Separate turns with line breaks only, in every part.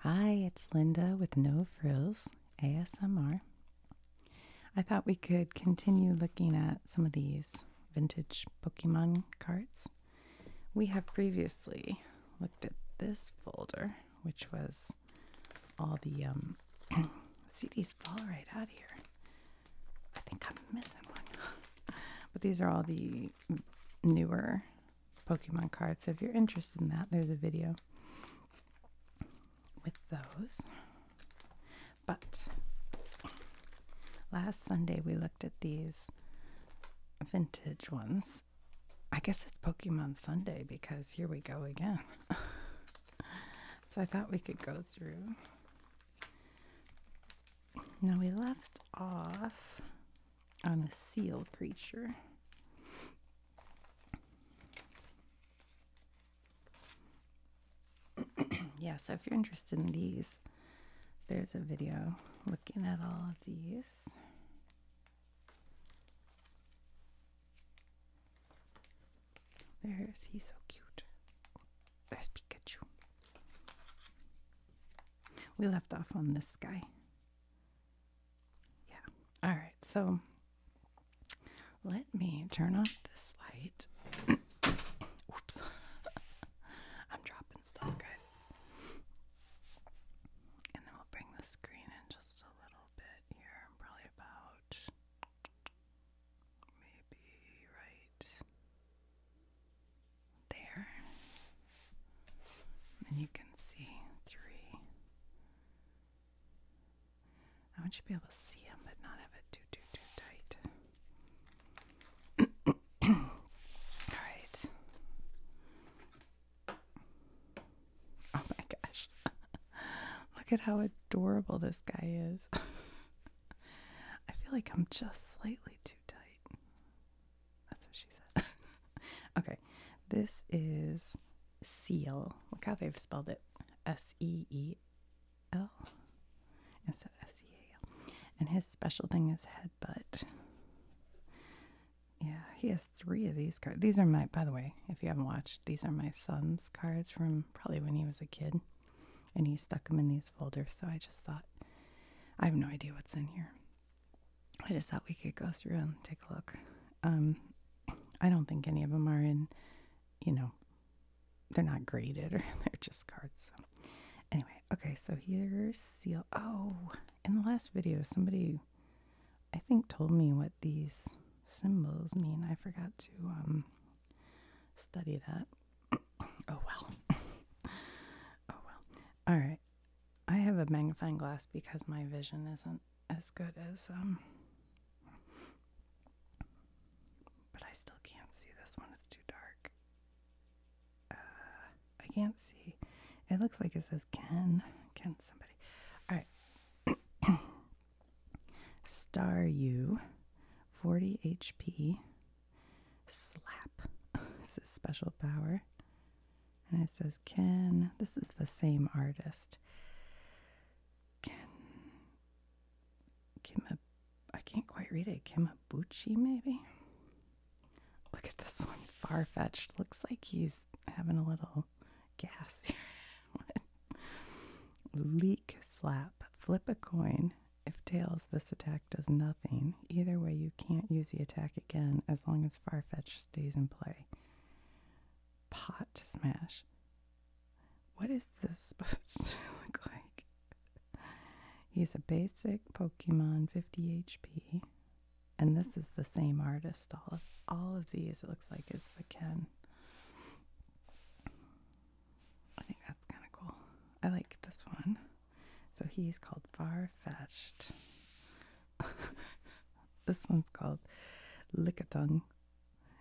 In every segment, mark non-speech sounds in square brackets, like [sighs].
Hi, it's Linda with No Frills ASMR. I thought we could continue looking at some of these vintage Pokemon cards. We have previously looked at this folder, which was all the um [clears throat] see these fall right out here. I think I'm missing one. [laughs] but these are all the newer Pokemon cards. So if you're interested in that, there's a video with those. But last Sunday we looked at these vintage ones. I guess it's Pokemon Sunday because here we go again. [laughs] so I thought we could go through. Now we left off on a seal creature. [clears throat] yeah, so if you're interested in these, there's a video looking at all of these. There's, he's so cute. There's Pikachu. We left off on this guy. Yeah. All right. So let me turn off this light. [coughs] Oops. [laughs] I'm dropping stuff, guys. And then we'll bring the screen in just a little bit here. Probably about maybe right there. And you can see three. I want you to be able to see them, but not have it too, too, too tight. [coughs] All right. Oh my gosh. [laughs] Look at how adorable this guy is. [laughs] I feel like I'm just slightly too tight. That's what she said. [laughs] okay, this is seal. Look how they've spelled it S E E L instead of S E A L. And his special thing is headbutt. Yeah, he has three of these cards. These are my, by the way, if you haven't watched, these are my son's cards from probably when he was a kid. And he stuck them in these folders, so I just thought, I have no idea what's in here. I just thought we could go through and take a look. Um, I don't think any of them are in, you know, they're not graded or [laughs] they're just cards. So. Anyway, okay, so here's seal. Oh, in the last video, somebody, I think, told me what these symbols mean. I forgot to um, study that. [clears throat] Oh well. [laughs] oh well. All right. I have a magnifying glass because my vision isn't as good as um but I still can't see this one. It's too dark. Uh, I can't see. It looks like it says Ken. Ken somebody. All right. [coughs] Star U 40 HP slap. [laughs] this is special power. And it says, Ken. this is the same artist. Ken Kim, I can't quite read it. Kimabuchi, maybe? Look at this one, far fetched. Looks like he's having a little gas [laughs] Leak slap, flip a coin. If tails, this attack does nothing. Either way, you can't use the attack again as long as Farfetch stays in play. Pot to smash. What is this [laughs] supposed to look like? He's a basic Pokemon 50 HP. And this is the same artist. All of all of these it looks like is the Ken. I think that's kinda cool. I like this one. So he's called Far Fetched. [laughs] this one's called "Lick a Tongue,"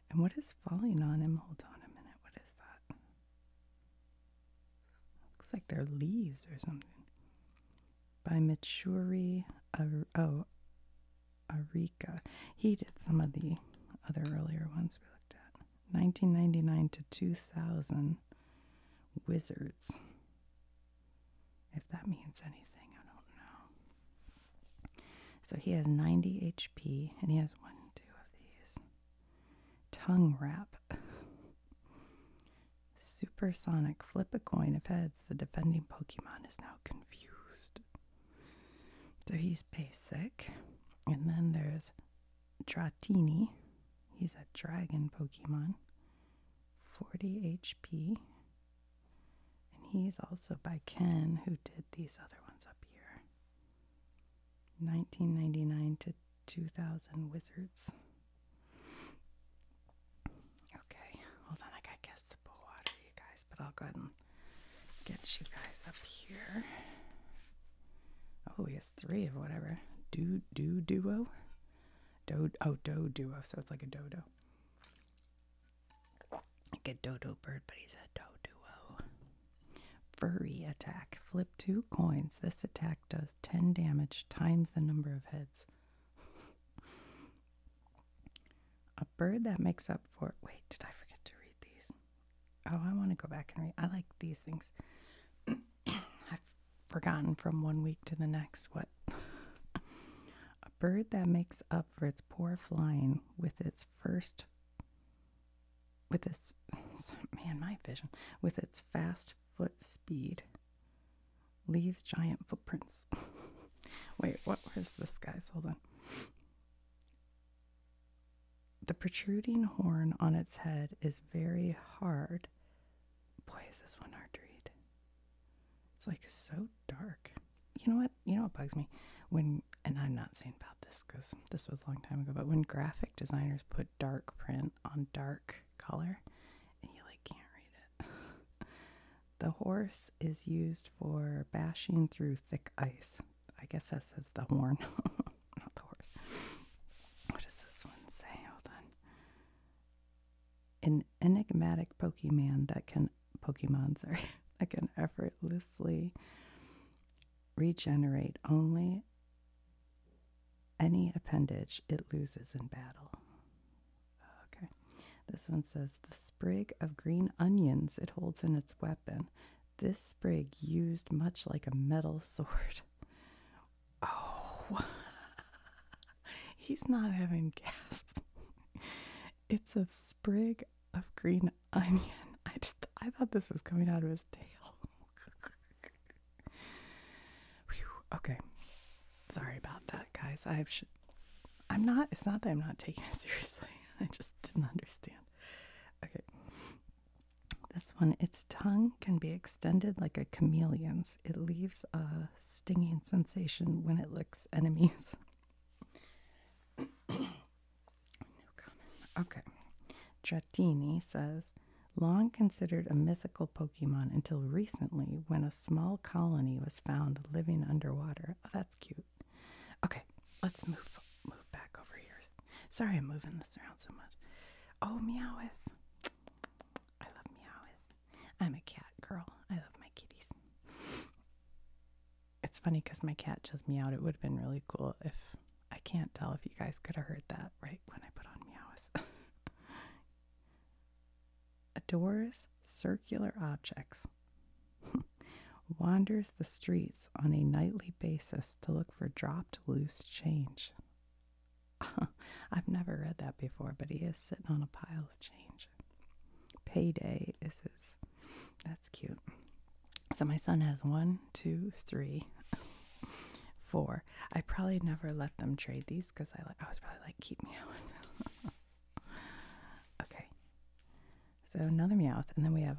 And what is falling on him? Hold on a minute. What is that? Looks like they're leaves or something. By Mitsuri Ar oh, Arika. He did some of the other earlier ones we looked at. 1999 to 2000 Wizards. If that means anything, I don't know. So he has 90 HP, and he has one, two of these. Tongue wrap. Supersonic flip a coin of heads. The defending Pokemon is now confused. So he's basic. And then there's Dratini. He's a dragon Pokemon. 40 HP. And he's also by Ken, who did these other ones up here 1999 to 2000 Wizards. Okay, hold on, I gotta get water, you guys, but I'll go and get you guys up here. Oh, he has three of whatever. Do, do, duo. Do, oh, do, duo. So it's like a dodo. Like a dodo bird, but he's a doduo. Furry attack. Flip two coins. This attack does 10 damage times the number of heads. [laughs] a bird that makes up for. Wait, did I forget to read these? Oh, I want to go back and read. I like these things. [clears throat] I've forgotten from one week to the next what bird that makes up for its poor flying with its first with this [laughs] man my vision with its fast foot speed leaves giant footprints [laughs] wait what was this guy's hold on the protruding horn on its head is very hard boy is this one hard to read it's like so dark. You know what? You know what bugs me? When, and I'm not saying about this because this was a long time ago, but when graphic designers put dark print on dark color and you like can't read it. [laughs] the horse is used for bashing through thick ice. I guess that says the horn, [laughs] not the horse. What does this one say? Hold on. An enigmatic Pokemon that can Pokemon [laughs] sorry that can effortlessly regenerate only any appendage it loses in battle. Okay. This one says the sprig of green onions it holds in its weapon. This sprig used much like a metal [laughs] sword. Oh [laughs] [laughs] He's not having gas. [laughs] It's a sprig of green [laughs] onion. I just I thought this was coming out of his tail. okay. Sorry about that, guys. I should I'm not it's not that I'm not taking it seriously. I just didn't understand. Okay. This one, its tongue can be extended like a chameleon's. It leaves a stinging sensation when it looks enemies. [coughs] Okay. Dratini says, long considered a mythical Pokemon until recently when a small colony was found living underwater. Oh, that's cute. Okay, let's move move back over here. Sorry I'm moving this around so much. Oh, Meowth. I love Meowth. I'm a cat girl. I love my kitties. It's funny because my cat me out. It would have been really cool if I can't tell if you guys could have heard that right when I put on meows. [laughs] Adores circular objects. [laughs] Wanders the streets on a nightly basis to look for dropped loose change. [laughs] I've never read that before, but he is sitting on a pile of change. Payday. This is That's cute. So my son has one, two, three, [laughs] four. I probably never let them trade these because I, I was probably like, keep me out. [laughs] okay. So another Meowth. And then we have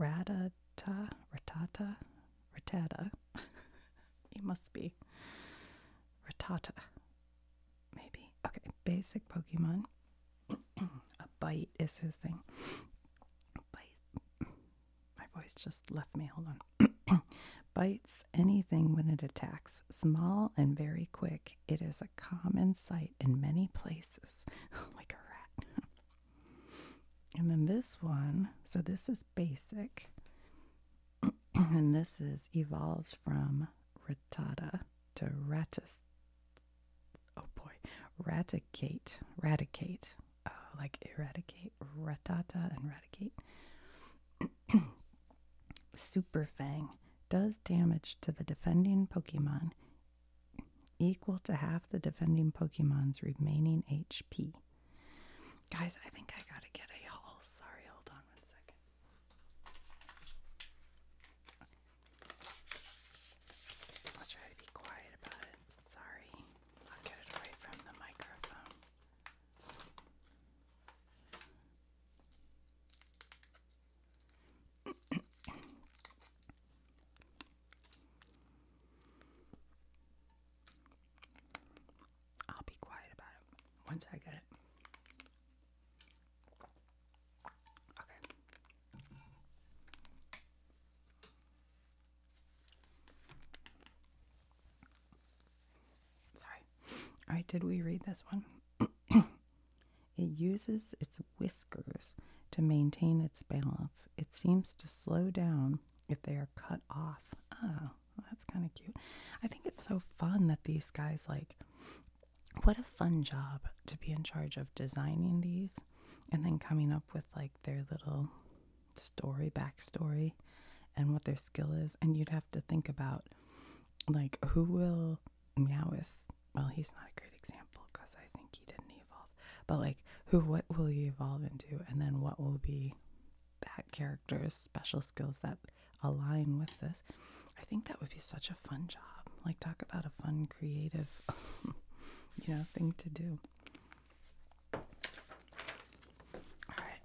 Ratata, Ratata, Ratata. [laughs] he must be Ratata maybe. Okay, basic Pokemon. [clears throat] a bite is his thing. Bite. My voice just left me. Hold on. [clears throat] Bites anything when it attacks. Small and very quick. It is a common sight in many places, [laughs] like a rat. [laughs] and then this one. So this is basic. [clears throat] and this is evolves from Ratata to ratis. Oh boy, eradicate, eradicate, uh, like eradicate, ratata and eradicate. [clears throat] Super Fang does damage to the defending Pokemon equal to half the defending Pokemon's remaining HP. Guys, I think I gotta get a haul. Sorry, hold on one second. I'll try to be quiet about it. Sorry. I'll get it away from the microphone. [coughs] I'll be quiet about it once I get it. Sorry. All right, did we read this one? [clears throat] it uses its whiskers to maintain its balance. It seems to slow down if they are cut off. Oh, that's kind of cute. I think it's so fun that these guys like what a fun job to be in charge of designing these and then coming up with like their little story, backstory, and what their skill is. And you'd have to think about like who will with Well, he's not a great example because I think he didn't evolve, but like who, what will he evolve into, and then what will be that character special skills that align with this i think that would be such a fun job like talk about a fun creative [laughs] you know thing to do all right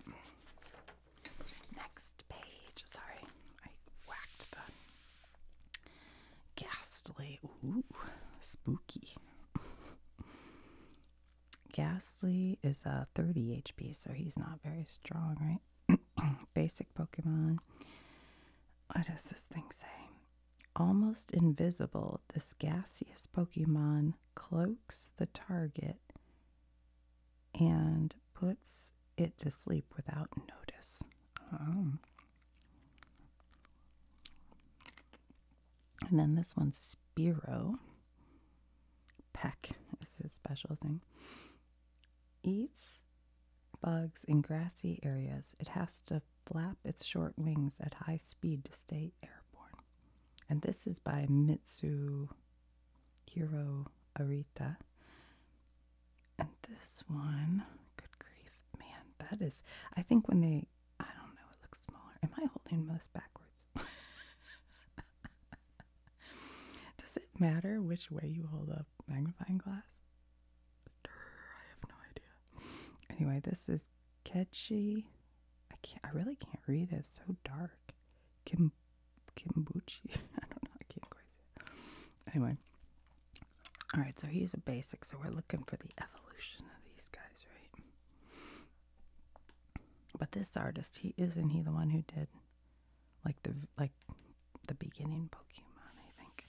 next page sorry i whacked the ghastly ooh spooky [laughs] Ghastly is a 30 HP, so he's not very strong, right? [clears throat] [clears throat] basic Pokemon. What does this thing say? Almost invisible, this gaseous Pokemon cloaks the target and puts it to sleep without notice. Oh. And then this one's Spiro. Peck This is his special thing eats bugs in grassy areas. It has to flap its short wings at high speed to stay airborne. And this is by Mitsuhiro Arita. And this one, good grief, man, that is, I think when they, I don't know, it looks smaller. Am I holding this backwards? [laughs] [laughs] Does it matter which way you hold a magnifying glass? I have no idea. Anyway, this is catchy. I can't. I really can't read It's so dark. Kim, Kimbuchi. [laughs] I don't know. I can't quite see Anyway. All right. So he's a basic. So we're looking for the evolution of these guys, right? But this artist, he isn't he the one who did like the like the beginning Pokemon, I think.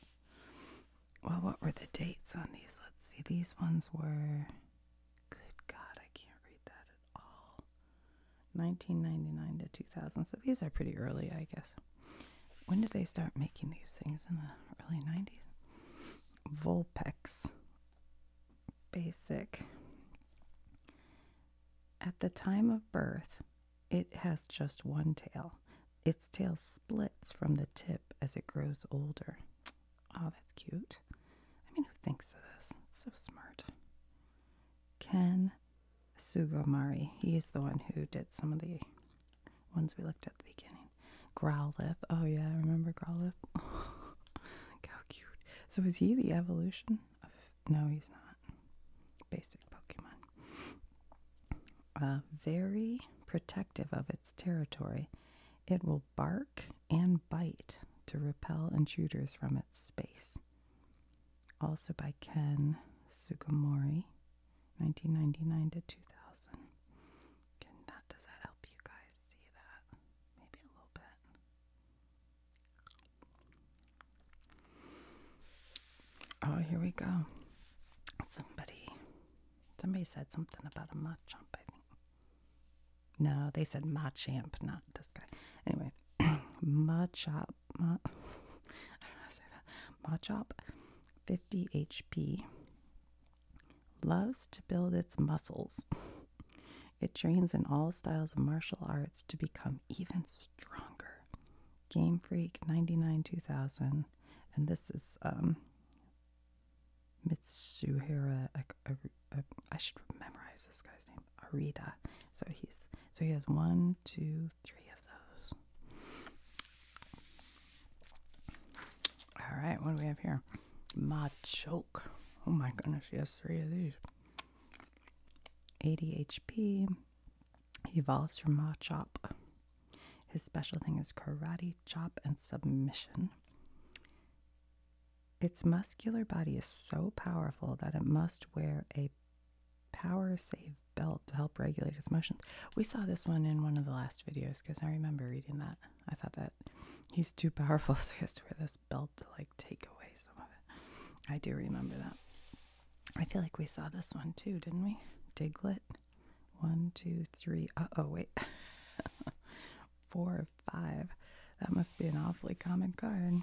Well, what were the dates on these? Let's see. These ones were. Good God, I can't read that at all. 1999 to 2000. So these are pretty early, I guess. When did they start making these things? In the early 90s? Volpex. Basic. At the time of birth, it has just one tail. Its tail splits from the tip as it grows older. Oh, that's cute. I mean, who thinks of this? It's so smart. Ken Sugomari, he is the one who did some of the ones we looked at the beginning. Growlithe. Oh, yeah, I remember Growlithe. [laughs] how cute. So, is he the evolution? no, he's not. Basic Pokemon. Uh, very protective of its territory, it will bark and bite to repel intruders from its space. Also by Ken Sugimori, 1999 to 2000. does that help you guys see that? Maybe a little bit. Oh, here we go. Somebody, somebody said something about a Machamp, No, they said Machamp, not this guy. Anyway, Machop, [clears throat] Machop, [laughs] 50 HP, loves to build its muscles. It trains in all styles of martial arts to become even stronger. Game Freak 99 2000, and this is um, Mitsuhira, I should memorize this guy's name, Arita. So he's so he has one, two, three of those. All right, what do we have here? Choke. Oh my goodness, he has three of these. ADHP. He evolves from Machop. His special thing is karate, chop, and submission. Its muscular body is so powerful that it must wear a power save belt to help regulate its motion. We saw this one in one of the last videos because I remember reading that. I thought that he's too powerful, [laughs] so he has to wear this belt to like take away some of it. I do remember that. I feel like we saw this one too, didn't we? Diglet. One, two, three. Uh oh, wait. [laughs] Four or five. That must be an awfully common card.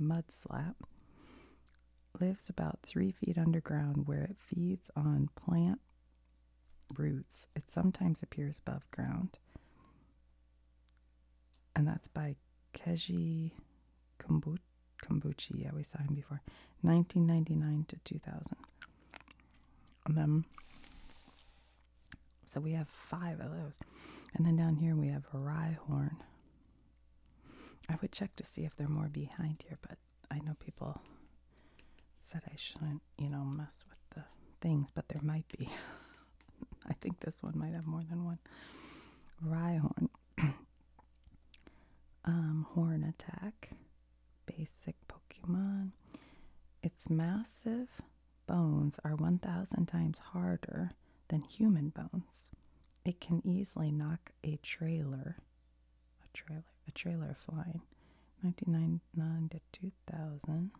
Mudslap lives about three feet underground where it feeds on plant roots. It sometimes appears above ground. And that's by Keji Kombucha. Kombuchi. Yeah, we saw him before. 1999 to 2000. And then, so we have five of those. And then down here we have Rye Horn. I would check to see if there are more behind here, but I know people said I shouldn't, you know, mess with the things, but there might be. [laughs] I think this one might have more than one. Rye Horn. [clears throat] Um, horn Attack, basic Pokemon. Its massive bones are 1,000 times harder than human bones. It can easily knock a trailer, a trailer, a trailer flying. 1999 to 2000.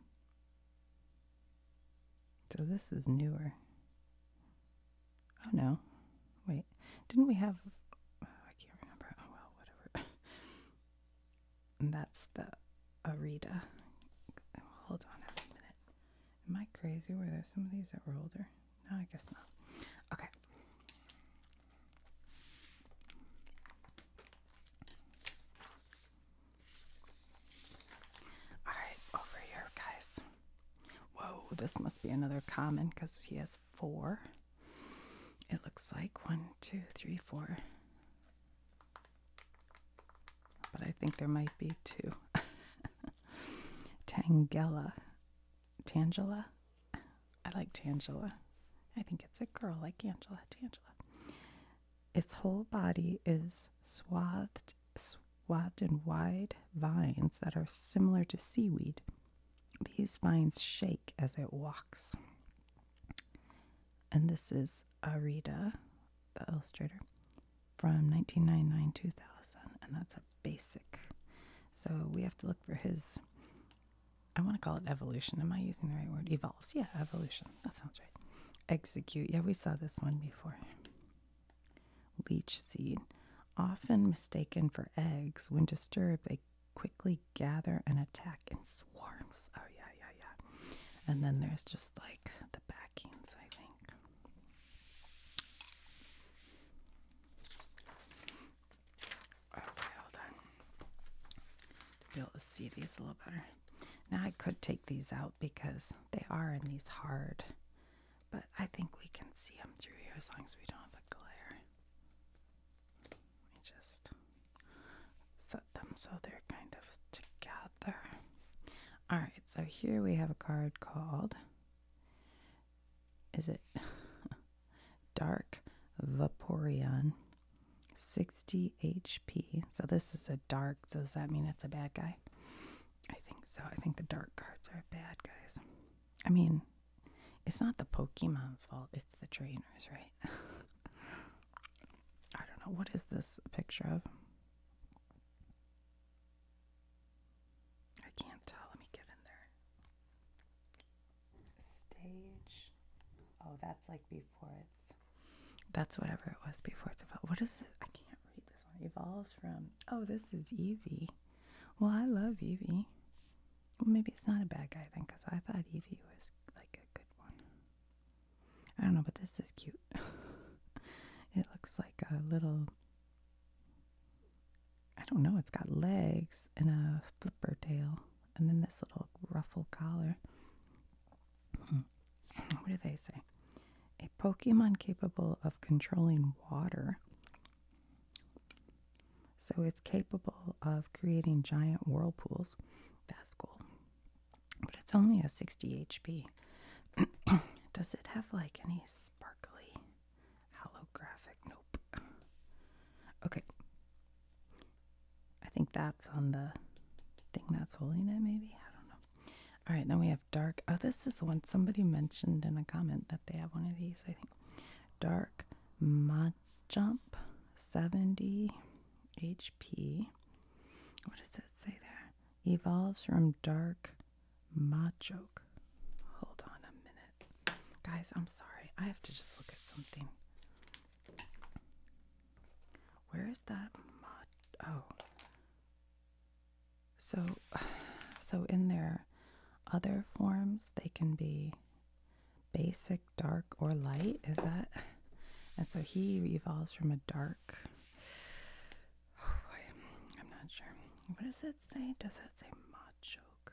So this is newer. Oh no. Wait. Didn't we have oh, I can't remember. Oh well, whatever. [laughs] that's the Arita. hold on a minute. Am I crazy? Were there some of these that were older? No, I guess not. Okay. All right, over here, guys. Whoa, this must be another common because he has four. It looks like one, two, three, four. But I think there might be two. [laughs] Tangela. Tangela? I like Tangela. I think it's a girl like Angela. Tangela. Its whole body is swathed, wide and wide vines that are similar to seaweed. These vines shake as it walks. And this is Arita, the illustrator, from 1999 2000. And that's a basic. So we have to look for his, I want to call it evolution. Am I using the right word? Evolves. Yeah, evolution. That sounds right. Execute. Yeah, we saw this one before. Leach seed, often mistaken for eggs, when disturbed, they quickly gather and attack in swarms. Oh, yeah, yeah, yeah. And then there's just like the backings, I think. Okay, hold on. To be able to see these a little better. Now I could take these out because they are in these hard but I think we can see them through here as long as we don't have a glare. Let me just set them so they're kind of together. Alright, so here we have a card called Is it [laughs] Dark Vaporeon 60 HP? So this is a dark, does that mean it's a bad guy? I think so. I think the dark cards are bad guys. I mean, it's not the Pokemon's fault, it's the trainers, right? [laughs] I don't know. What is this picture of? I can't tell. Let me get in there. Stage. Oh, that's like before it's. That's whatever it was before it evolved. What is it? I can't read this one. Evolves from. Oh, this is Eevee. Well, I love Evie. maybe it's not a bad guy then, because I thought Evie was like a good one. I don't know, but this is cute. [laughs] it looks like a little. I don't know, it's got legs and a flipper tail, and then this little ruffle collar. Hmm. what do they say? A Pokemon capable of controlling water so it's capable of creating giant whirlpools. That's cool. But it's only a 60 HP. [clears throat] Does it have like any sparkly holographic? Nope. Okay. I think that's on the thing that's holding it, maybe. I don't know. All right, then we have dark. Oh, this is the one somebody mentioned in a comment that they have one of these, I think. Dark Majump 70 HP. What does that say there? Evolves from Dark Machoke. Hold on a minute. Guys, I'm sorry. I have to just look at something. Where is that mod? Oh. So, [sighs] so in their other forms, they can be basic, dark, or light. Is that? And so he evolves from a dark. [sighs] Oh boy, I'm not sure. What does it say? Does it say Machoke?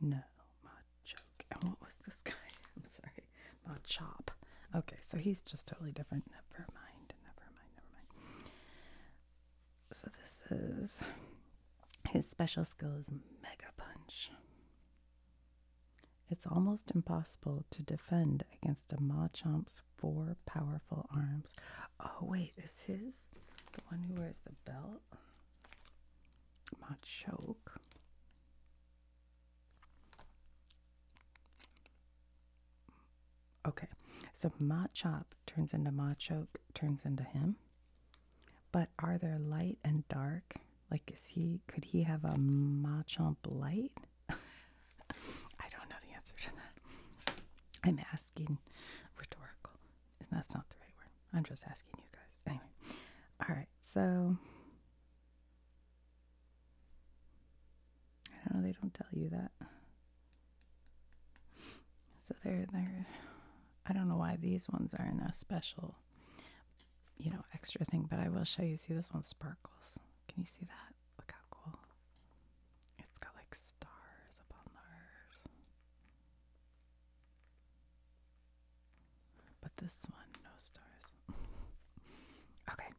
No, Machoke. And what was this [laughs] guy? I'm sorry, Machop. Okay, so he's just totally different. Never mind. Never mind. Never mind. So this is his special skill is Mega Punch. It's almost impossible to defend against a Machamp's four powerful arms. Oh wait, is his the one who wears the belt? Machoke. Okay, so Machop turns into Machoke, turns into him. But are there light and dark? Like, is he, could he have a Machomp light? [laughs] I don't know the answer to that. I'm asking rhetorical. That's not the right word. I'm just asking you guys. Anyway, all right, so. I don't know, they don't tell you that. So they're they're I don't know why these ones aren't a special you know extra thing, but I will show you. See this one sparkles. Can you see that? Look how cool. It's got like stars upon the earth. But this one, no stars. [laughs] okay.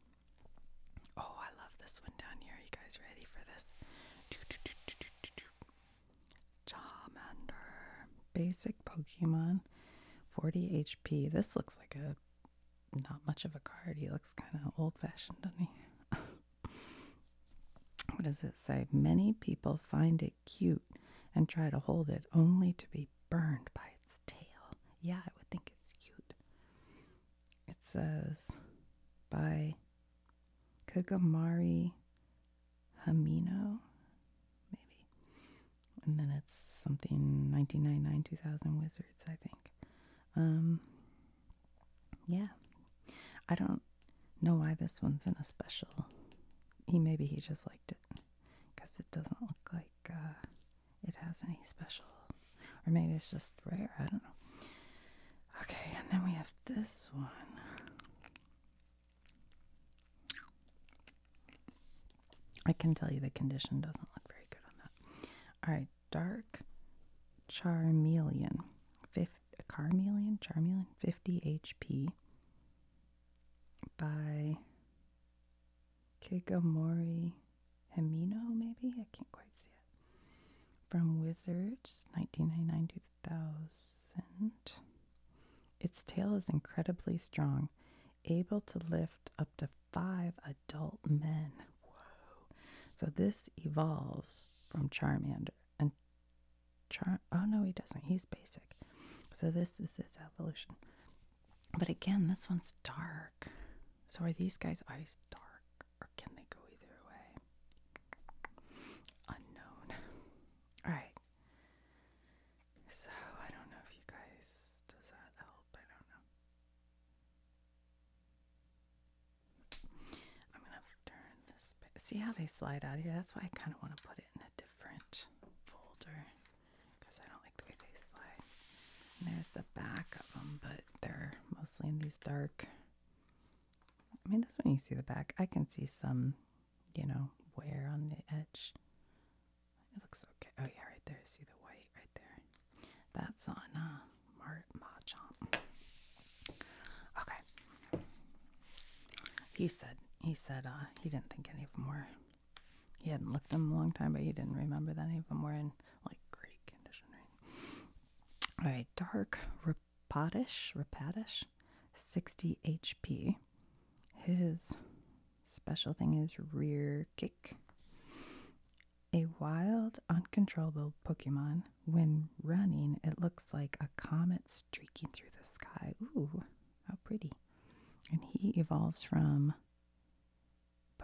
Oh, I love this one down here. Are you guys ready for this? Charmander, basic Pokemon, 40 HP. This looks like a not much of a card. He looks kind of old fashioned, doesn't he? [laughs] what does it say? Many people find it cute and try to hold it only to be burned by its tail. Yeah, I would think it's cute. It says by Kagamari Hamino, maybe. And then it's something 1999 2000 Wizards, I think. Um, yeah. I don't know why this one's in a special. He maybe he just liked it because it doesn't look like uh, it has any special, or maybe it's just rare. I don't know. Okay, and then we have this one. I can tell you the condition doesn't look very good on that. All right, dark charmeleon. Fif- carmeleon? Charmeleon? 50 HP by Kigamori Himino, maybe? I can't quite see it. From Wizards, 1999 to. 2000. Its tail is incredibly strong, able to lift up to five adult men. Whoa. So this evolves from Charmander. And Char oh no, he doesn't. He's basic. So this is his evolution. But again, this one's dark. So are these guys always dark? or can they go either way? Unknown. Alright. So, I don't know if you guys, does that help? I don't know. I'm gonna turn this. See how they slide out here? That's why I kind of want to put it in a different folder because I don't like the way they slide. there's the back of them, but they're mostly in these dark I mean, this one you see the back. I can see some, you know, wear on the edge. It looks okay. Oh, yeah, right there. See the white right there. That's on uh, Mar Okay. He said, he said uh, he didn't think any of them were. He hadn't looked them a long time, but he didn't remember that any of them were in like great condition, right? All right, dark Rapadish, Rapadish, 60 HP. His special thing is rear kick. A wild, uncontrollable Pokemon. When running, it looks like a comet streaking through the sky. Ooh, how pretty. And he evolves from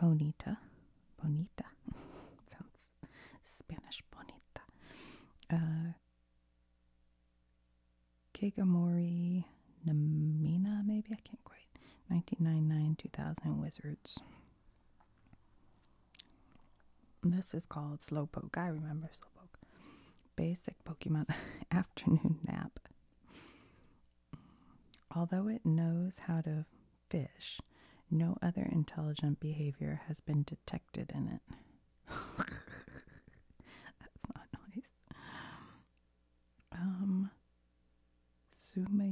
Bonita. Bonita. [laughs] Sounds Spanish bonita. Uh, Kegamori Namina, maybe I can't quite. 1999 2000 Wizards. This is called Slowpoke. I remember Slowpoke. Basic Pokemon [laughs] Afternoon Nap. Although it knows how to fish, no other intelligent behavior has been detected in it. That's not nice. Um, Suma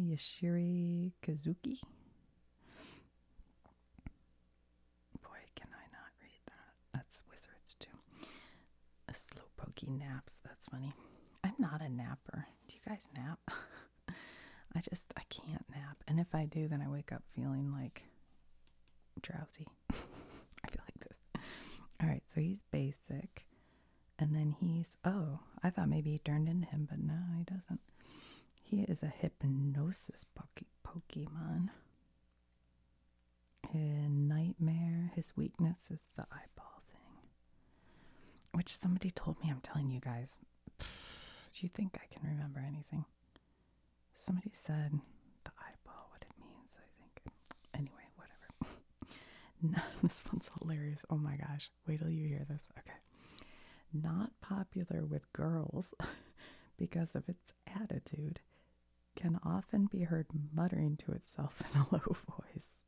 Kazuki. Boy, can I not read that? That's Wizards too. A slow pokey naps. That's funny. I'm not a napper. Do you guys nap? [laughs] I just I can't nap, and if I do, then I wake up feeling like drowsy. [laughs] I feel like this. All right, so he's basic. And then he's, oh, I thought maybe he turned into him, but no, he doesn't. He is a hypnosis Pokemon. His nightmare, his weakness is the eyeball thing. Which somebody told me, I'm telling you guys, [sighs] do you think I can remember anything? somebody said the eyeball, what it means, I think. Anyway, whatever. [laughs] no, [laughs] this one's hilarious. Oh my gosh. Wait till you hear this. Okay. Not popular with girls [laughs] because of its attitude, can often be heard muttering to itself in a low voice.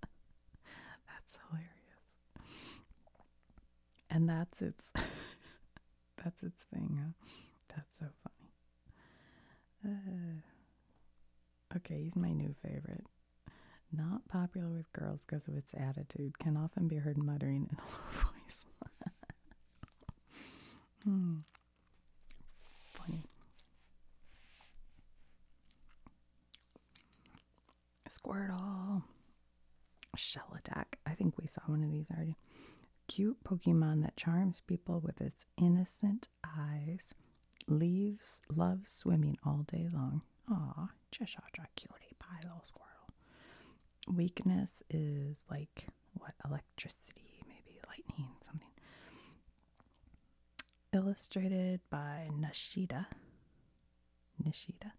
that's hilarious. And that's its that's its thing, That's so funny. Uh, okay, he's my new favorite. Not popular with girls because of its attitude, can often be heard muttering in a [laughs] low voice. Hmm. Funny. Squirtle. Shell Attack. I think we saw one of these already. Cute Pokemon that charms people with its innocent eyes. Leaves love swimming all day long. Ah, Cheshire Cutie Pie Little Squirrel. Weakness is like what? Electricity, maybe lightning, something. Illustrated by Nashida. Nashida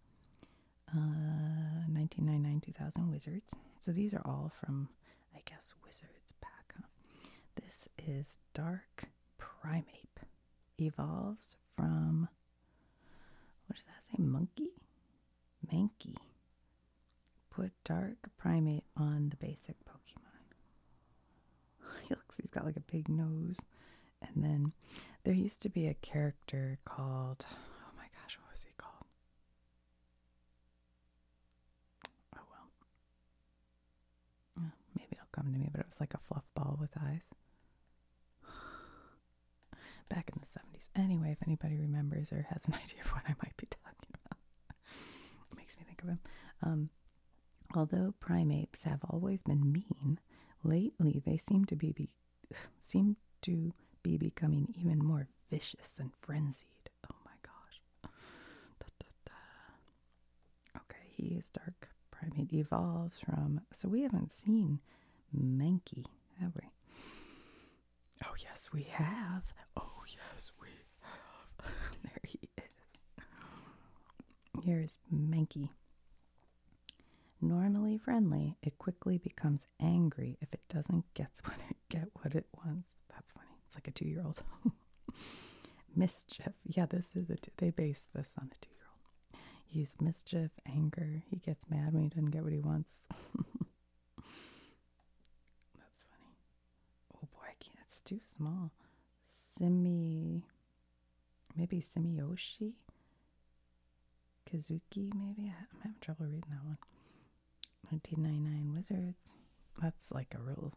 uh, 1999 2000 Wizards. So these are all from, I guess, Wizards pack. This is Dark primate. Evolves from, what does that say? Monkey? Mankey. Put Dark Primate on the basic Pokemon. [laughs] he looks, he's got like a big nose. And then there used to be a character called, oh my gosh, what was he called? Oh well. maybe it'll come to me, but it was like a fluff ball with eyes. [sighs] Back in the 70s. Anyway, if anybody remembers or has an [laughs] idea of what I might be talking about, [laughs] it makes me think of him. Um, although primates have always been mean, lately they seem to be seem to be becoming even more vicious and frenzied. Oh my gosh. Da, Okay, he is dark. Primate evolves from. So we haven't seen Mankey, have we? Oh, yes, we have. Oh, yes, we have. [laughs] there he is. Here is Mankey. Normally friendly, it quickly becomes angry if it doesn't gets what it get what it wants. That's funny. It's like a two year old. [laughs] mischief. Yeah, this is a they base this on a two year old. He's mischief, anger. He gets mad when he doesn't get what he wants. [laughs] That's funny. Oh boy, I can't. It's too small. Simi. Maybe Simioshi. Kazuki, maybe? I'm having trouble reading that one. 1999 Wizards. That's like a real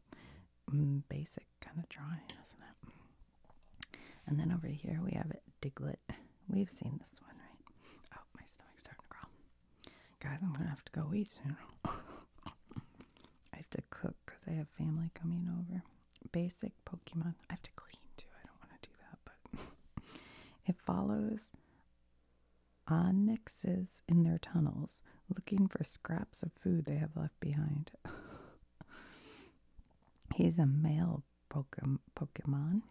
mm, basic kind of drawing, isn't it? And then over here we have Diglett. We've seen this one, right? Oh, my stomach's starting to growl, Guys, I'm going to have to go eat soon. [laughs] I have to cook because I have family coming over. Basic Pokemon. I have to clean too. I don't want to do that, but [laughs] it follows onyxes in their tunnels, looking for scraps of food they have left behind. [laughs] He's a male Pokemon.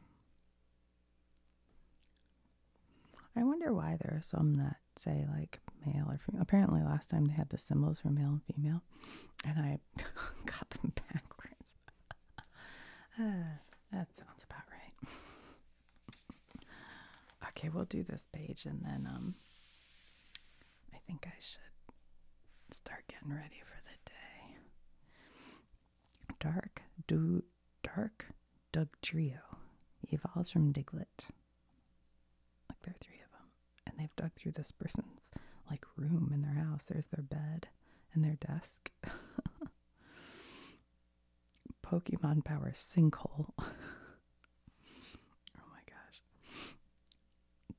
I wonder why there are some that say like male or female. Apparently, last time they had the symbols for male and female, and I [laughs] got them [laughs] backwards. [laughs] Uh, that sounds about right. [laughs] okay, we'll do this page and then um I think I should start getting ready for the day. Dark do dark dug Trio evolves from Diglett. Like there are three of them. And they've dug through this person's like room in their house. There's their bed and their desk. [laughs] Pokemon Power Sinkhole. [laughs] oh my gosh.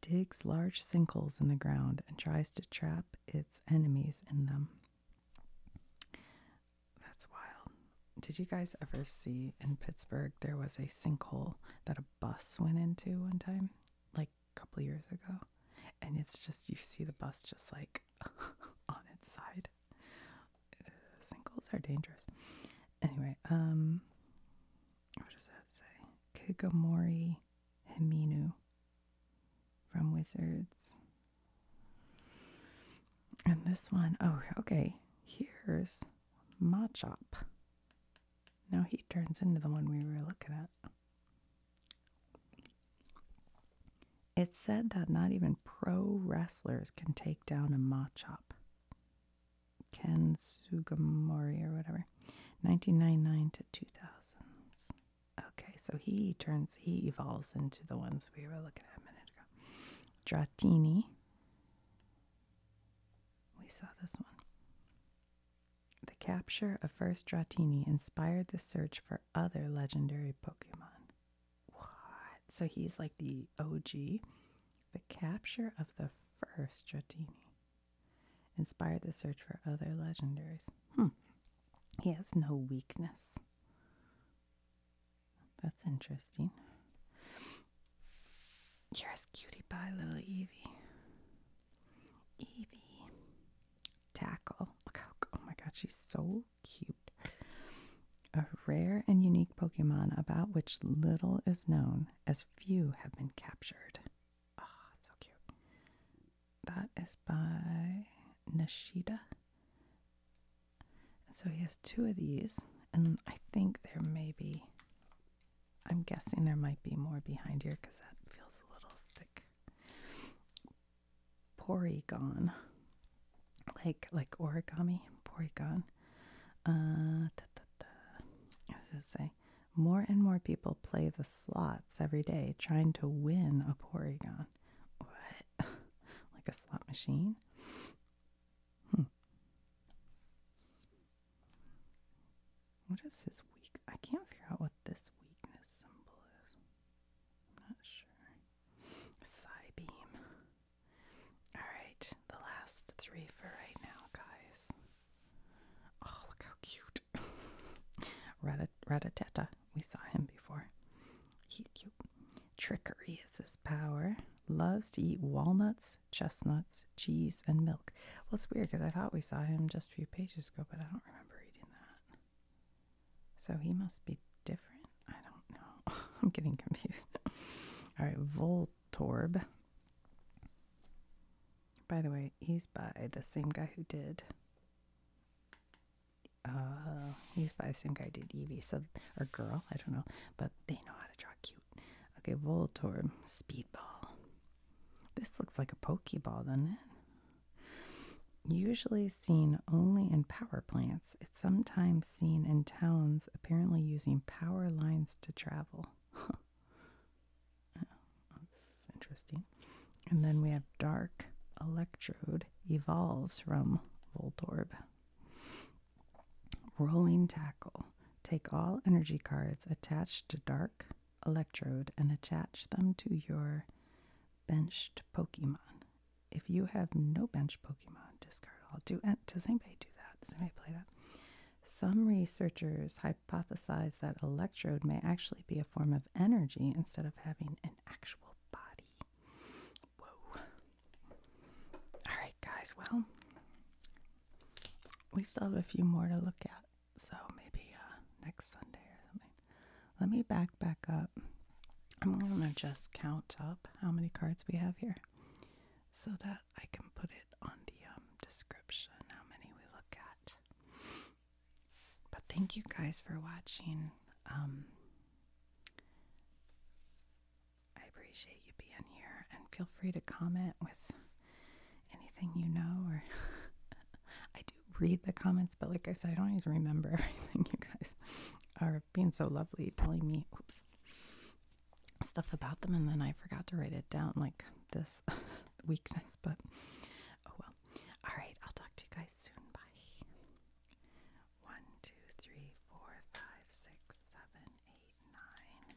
Digs large sinkholes in the ground and tries to trap its enemies in them. That's wild. Did you guys ever see in Pittsburgh there was a sinkhole that a bus went into one time? Like a couple years ago? And it's just, you see the bus just like [laughs] on its side. Uh, singles are dangerous. Anyway, um, what does that say? Kigamori Himinu from Wizards. And this one, oh, okay. Here's Machop. Now he turns into the one we were looking at. It's said that not even pro wrestlers can take down a machop. Ken Sugimori or whatever. 1999 to 2000s. Okay, so he turns, he evolves into the ones we were looking at a minute ago. Dratini. We saw this one. The capture of first Dratini inspired the search for other legendary Pokemon. What? So he's like the OG. The capture of the first Jardini inspired the search for other legendaries. Hmm. He has no weakness. That's interesting. You're Here's cutie pie little Evie. Evie. Tackle. Look how, oh my god, she's so cute. A rare and unique Pokemon about which little is known, as few have been captured. oh, so cute. That is by Nishida. So he has two of these, and I think there may be. I'm guessing there might be more behind here because that feels a little thick. Porygon, like like origami. Porygon. Uh, what da, da. I was say, more and more people play the slots every day, trying to win a Porygon. What? [laughs] like a slot machine? Hmm. What is his weak? I can't figure out what this weakness symbol is. I'm not sure. Psy Alright, the last three for right now, guys. Oh, look how cute. [laughs] Ratatata. We saw him before. He's cute. Trickery is his power. Loves to eat walnuts, chestnuts, cheese, and milk. Well, it's weird because I thought we saw him just a few pages ago, but I don't remember reading that. So he must be different. I don't know. [laughs] I'm getting confused. All right, Voltorb. By the way, he's by the same guy who did. Uh, he's by the same guy who did Evie. so or girl, I don't know, but they know how to draw cute. Okay, Voltorb, Speedball. This looks like a Pokeball, doesn't it? Usually seen only in power plants, it's sometimes seen in towns apparently using power lines to travel. [laughs] Oh, that's interesting. And then we have dark electrode evolves from Voltorb. Rolling tackle. Take all energy cards attached to dark electrode and attach them to your benched Pokemon if you have no bench Pokemon, discard all. Do does anybody do that? Does anybody play that? Some researchers hypothesize that electrode may actually be a form of energy instead of having an actual body. Whoa. Alright, guys, well, we still have a few more to look at, so maybe uh, next Sunday or something. Let me back back up. I'm gonna just count up how many cards we have here so that I can put it on the um, description how many we look at. But thank you guys for watching. Um, I appreciate you being here and feel free to comment with anything you know or [laughs] I do read the comments, but like I said, I don't always remember [laughs] everything, you guys are being so lovely, telling me [laughs] stuff about them, and then I forgot to write it down like this [laughs] weakness, but oh well. All right, I'll talk to you guys soon. Bye. One, two, three, four, five, six, seven, eight, nine,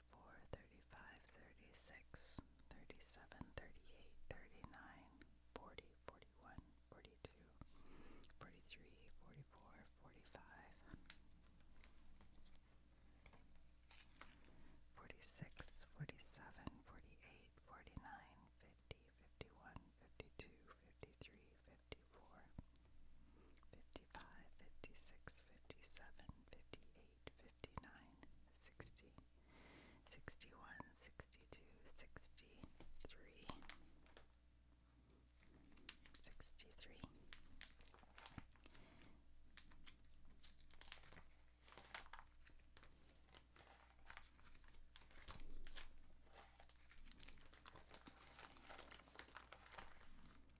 34, 36, 37, 38, 39, 40, 41, 42, 43, 44, 45, 46, 47, 48, 49, 50, 51, 52, 53, 54 55, 56, 57, 58, 59, 60, 61, 62, 63, 63.